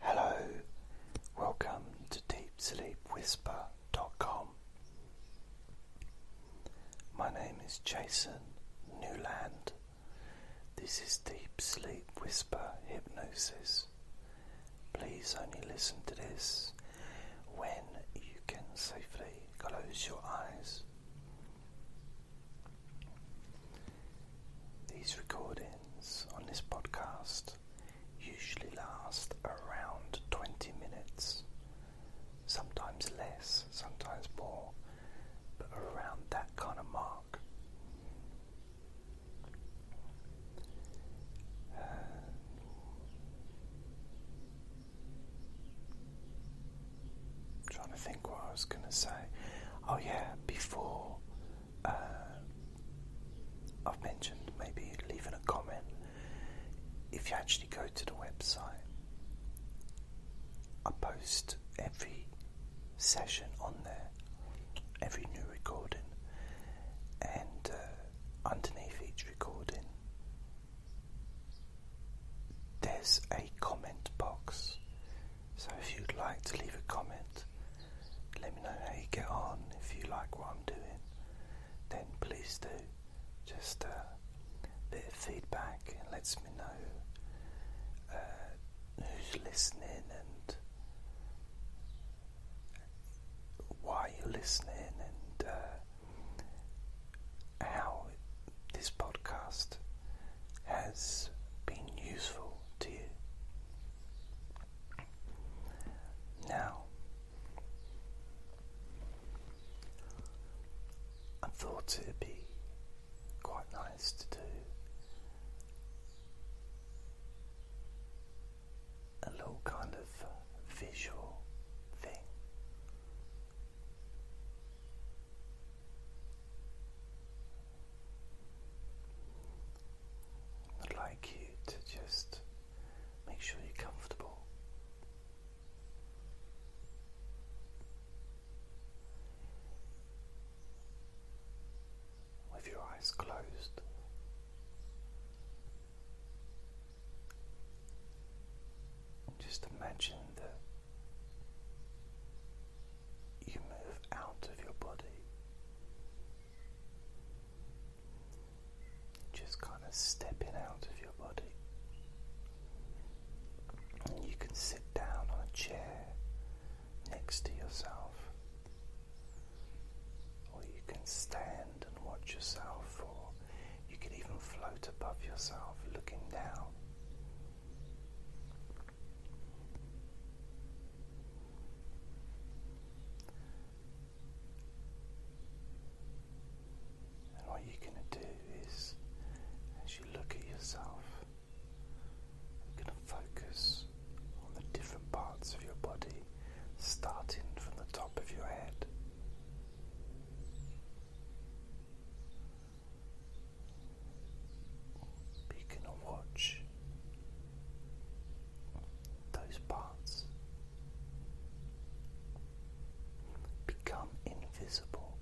Hello, welcome to DeepSleepWhisper.com. My name is Jason Newland. This is Deep Sleep Whisper Hypnosis. Please only listen to this when you can safely close your eyes. These recordings on this podcast usually last around 20 minutes, sometimes less, sometimes more, but around that kind of mark. Uh, trying to think what I was going to say. Oh, yeah, before um, I've mentioned, maybe leaving a comment. If you actually go to the website, I post every session on there, every new recording, and uh, underneath each recording, there's a comment box so if you'd like to leave a comment, let me know how you get on. If you like what I'm doing, then please do. Just uh, a bit of feedback and lets me know uh, who's listening and why you're listening and uh, how this podcast has been useful to you. Now, I thought it'd be quite nice to do a little kind of visual thing. I'd like you to just make sure you're comfortable. With your eyes closed, just imagine that you move out of your body. Just kind of stepping out of your body. And you can sit down on a chair next to yourself, or you can stand and watch yourself, or you can even float above yourself looking down. And what you're going to do is, as you look at yourself, you're going to focus on the different parts of your body, starting from the top of your head. But you can watch those parts become invisible.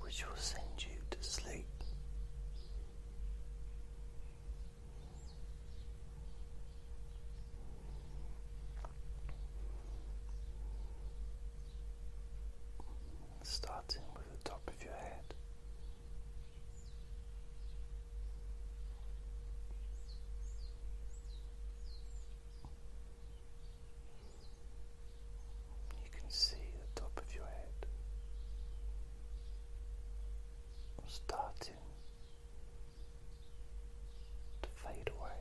Which will send you to sleep Starting with the top of your head. You can see the top of your head starting to fade away.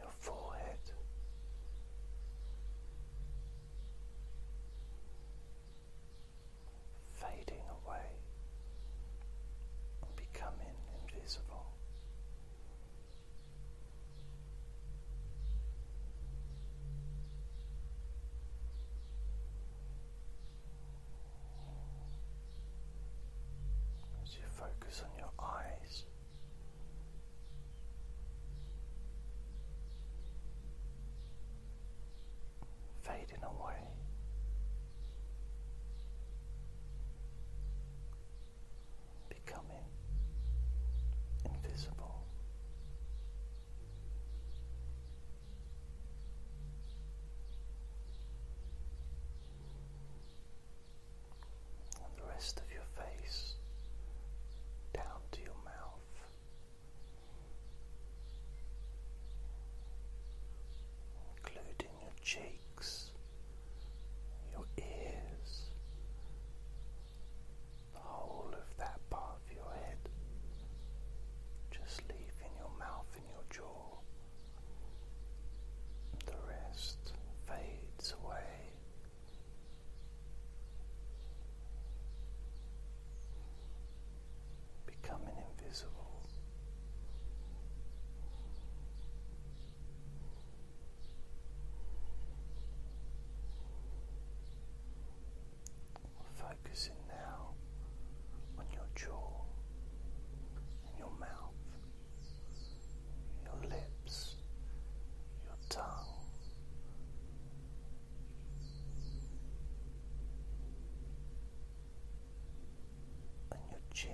Your forehead. Fading away becoming invisible. As you focus on your eyes. Fading away, becoming invisible. And the rest of your face down to your mouth. Including your cheek your ears, the whole of that part of your head, just leaving your mouth and your jaw. The rest fades away. Becoming invisible, Focusing now on your jaw and your mouth, your lips, your tongue. And your chin,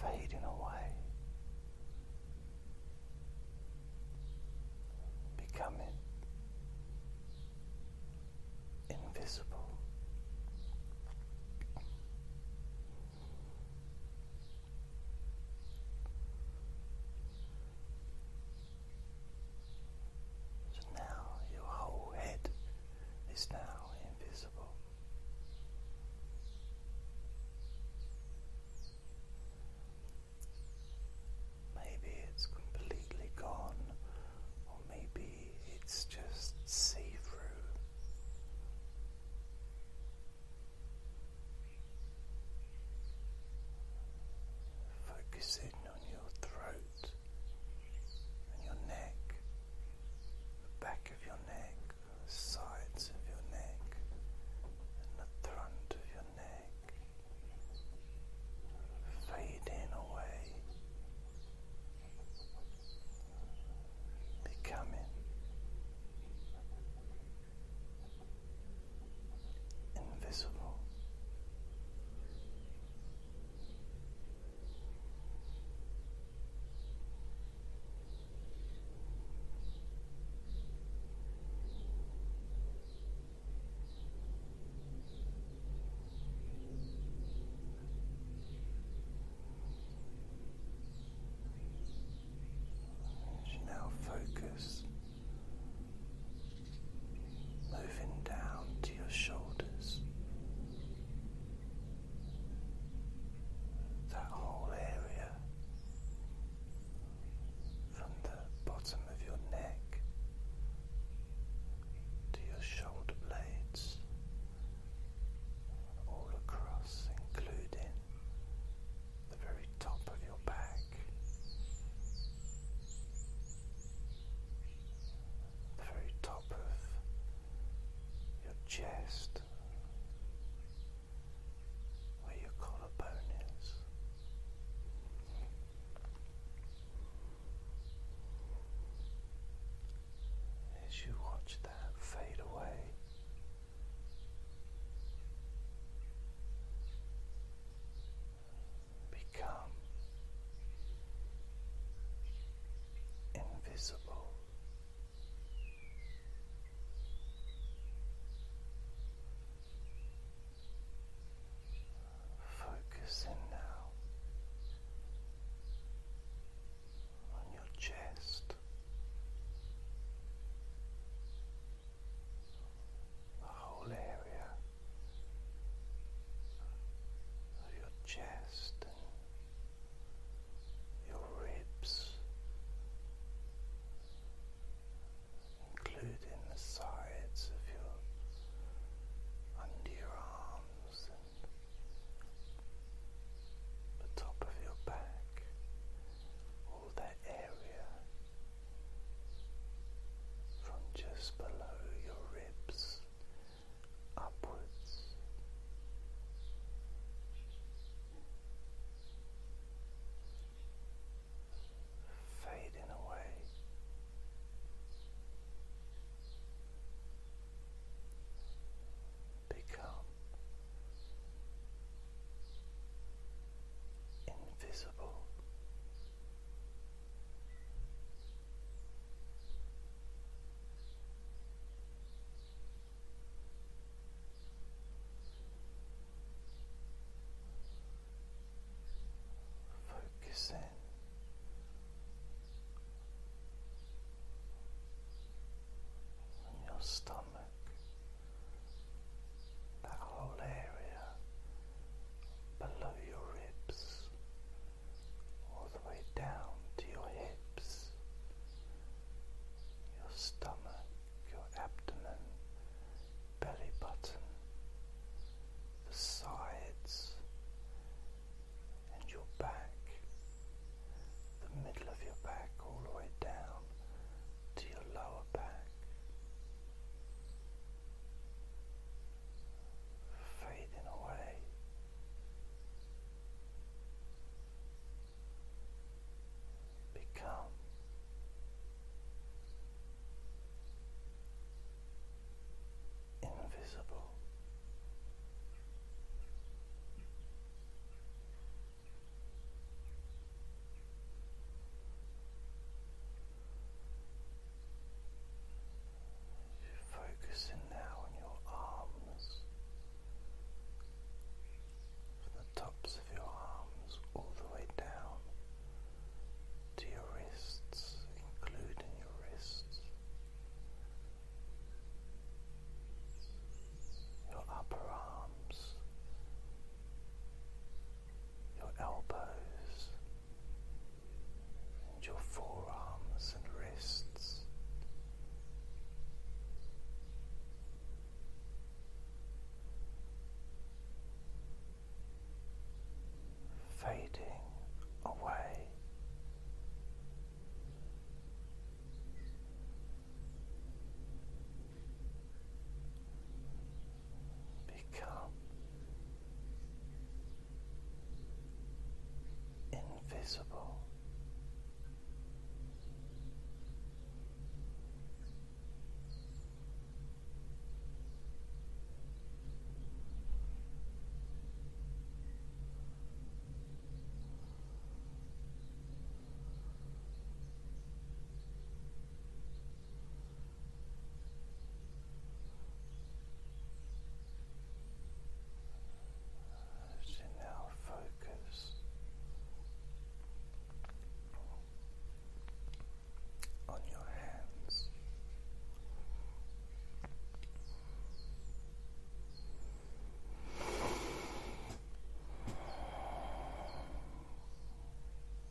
fading away, becoming invisible. So now your whole head is now invisible. Maybe it's completely gone, or maybe it's just see through. Focusing on your throat and your neck, the back of your neck, sides of your neck, and the front of your neck, fading away, becoming invisible. As you now focus moving down to your shoulders. That whole area from the bottom of your neck to your shoulder blades, all across, including the very top of your back the very top of your chest, where your collarbone is. As you watch that fade away, become invisible. Focus now on your chest, the whole area of your chest and your ribs, including the sides of your under your arms and the top of your back, all that area from just below your ribs upwards. Fading away, become invisible in on your stomach, that whole area below your ribs, all the way down to your hips, your stomach, your abdomen, belly button, the sides, and your back, the middle of your back, all the way down to your lower back fading away. Become invisible. Focusing now on your arms, from the tops of your arms all the way down to your wrists, including your wrists, your upper arms, your elbows and your forearms and wrists. Fading away, become invisible. As now focus on your hands.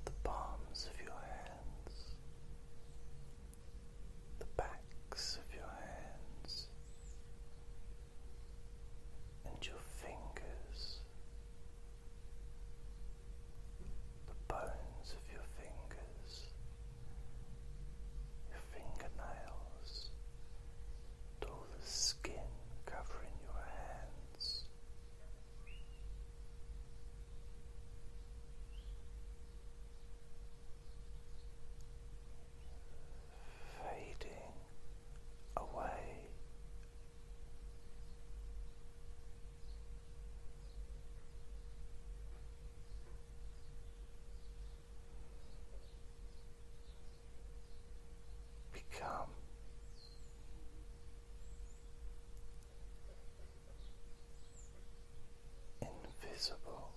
The palms of your hands the backs of your hands, and your fingers, the bones of your fingers, your fingernails, and all the skin covering your hands fading away. Become invisible.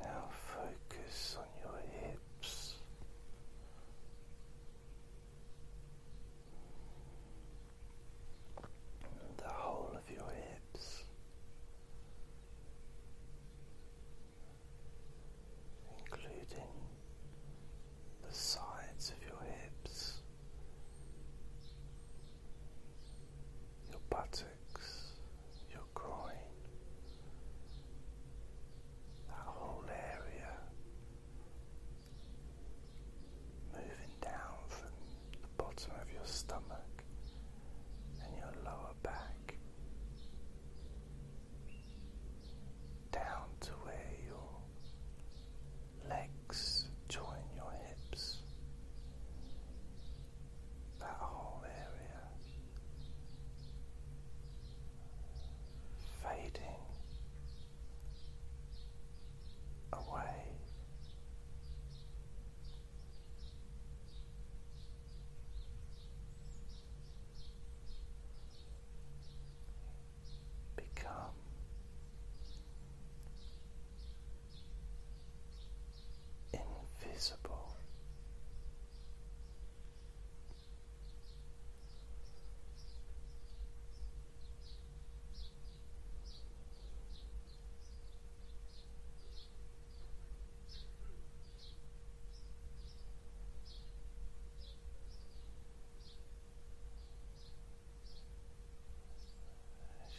now focus on your hips the whole of your hips, including the sides of your hips, your buttocks, your groin, that whole area moving down from the bottom of your stomach and your lower back down to where your legs join your hips. That whole area fading away. Become invisible. As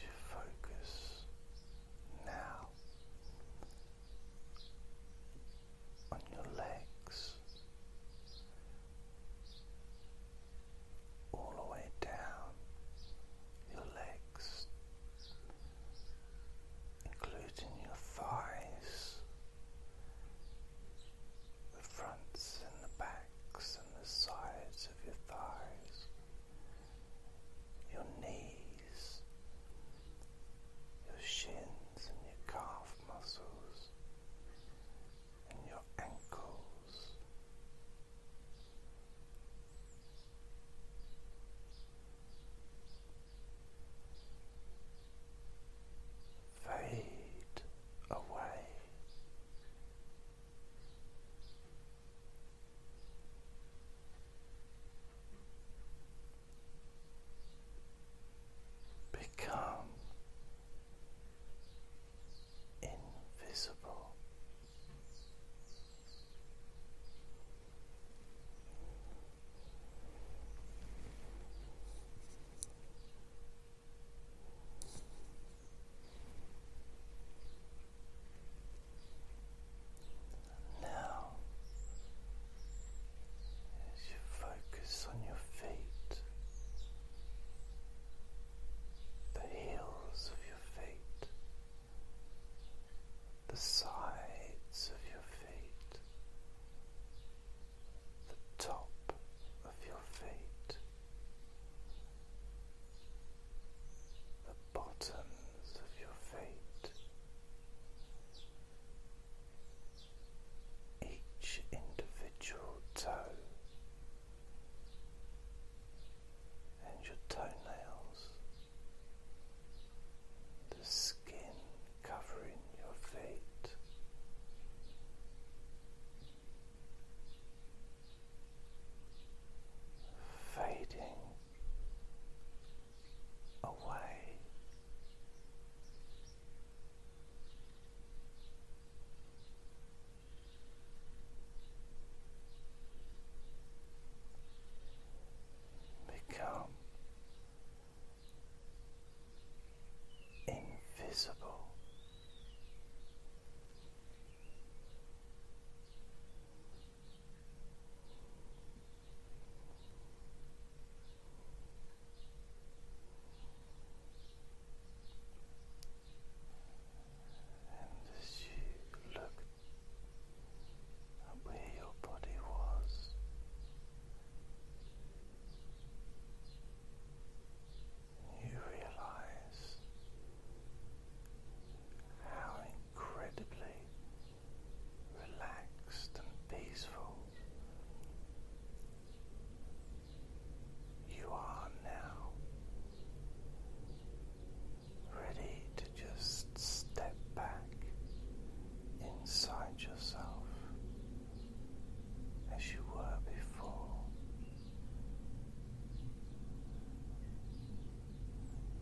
you focus now on your legs all the way down your legs, including your thighs, the fronts and the backs and the sides of your thighs, your knees, your shins and your calf muscles, and your ankles fade away. Become invisible. Now, as you focus on your feet, the heels of your feet, the sides of your feet, the top of your feet, the bottoms of your feet. Each individual toe and your toenails, the skin covering your feet. Fading away, become invisible. And as you look at where your body was, you realize how incredibly relaxed and peaceful you are now ready to just step back inside yourself as you were before.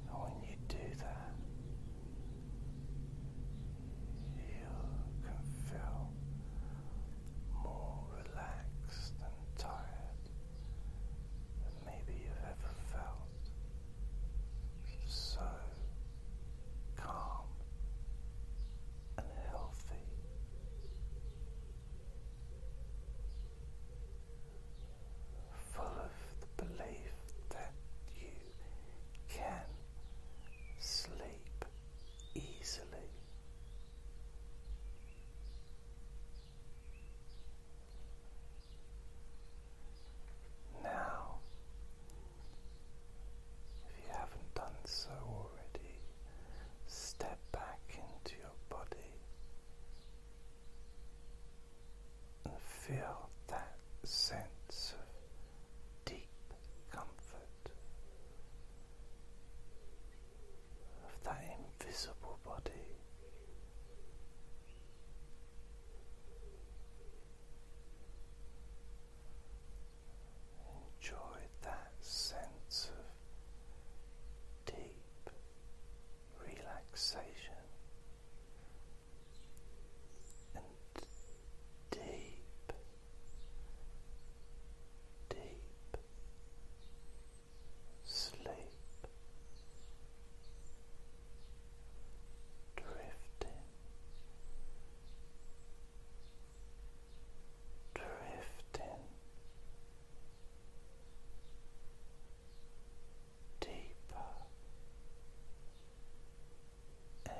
And when you do that, you can feel more relaxed and tired than maybe you've ever felt. So calm and healthy. Full of the belief that you can sleep easily, now, if you haven't done so already, step back into your body and feel that sense of deep comfort of that invisible body. Enjoy that sense of deep relaxation and deep, deep sleep, drifting, drifting deeper and deeper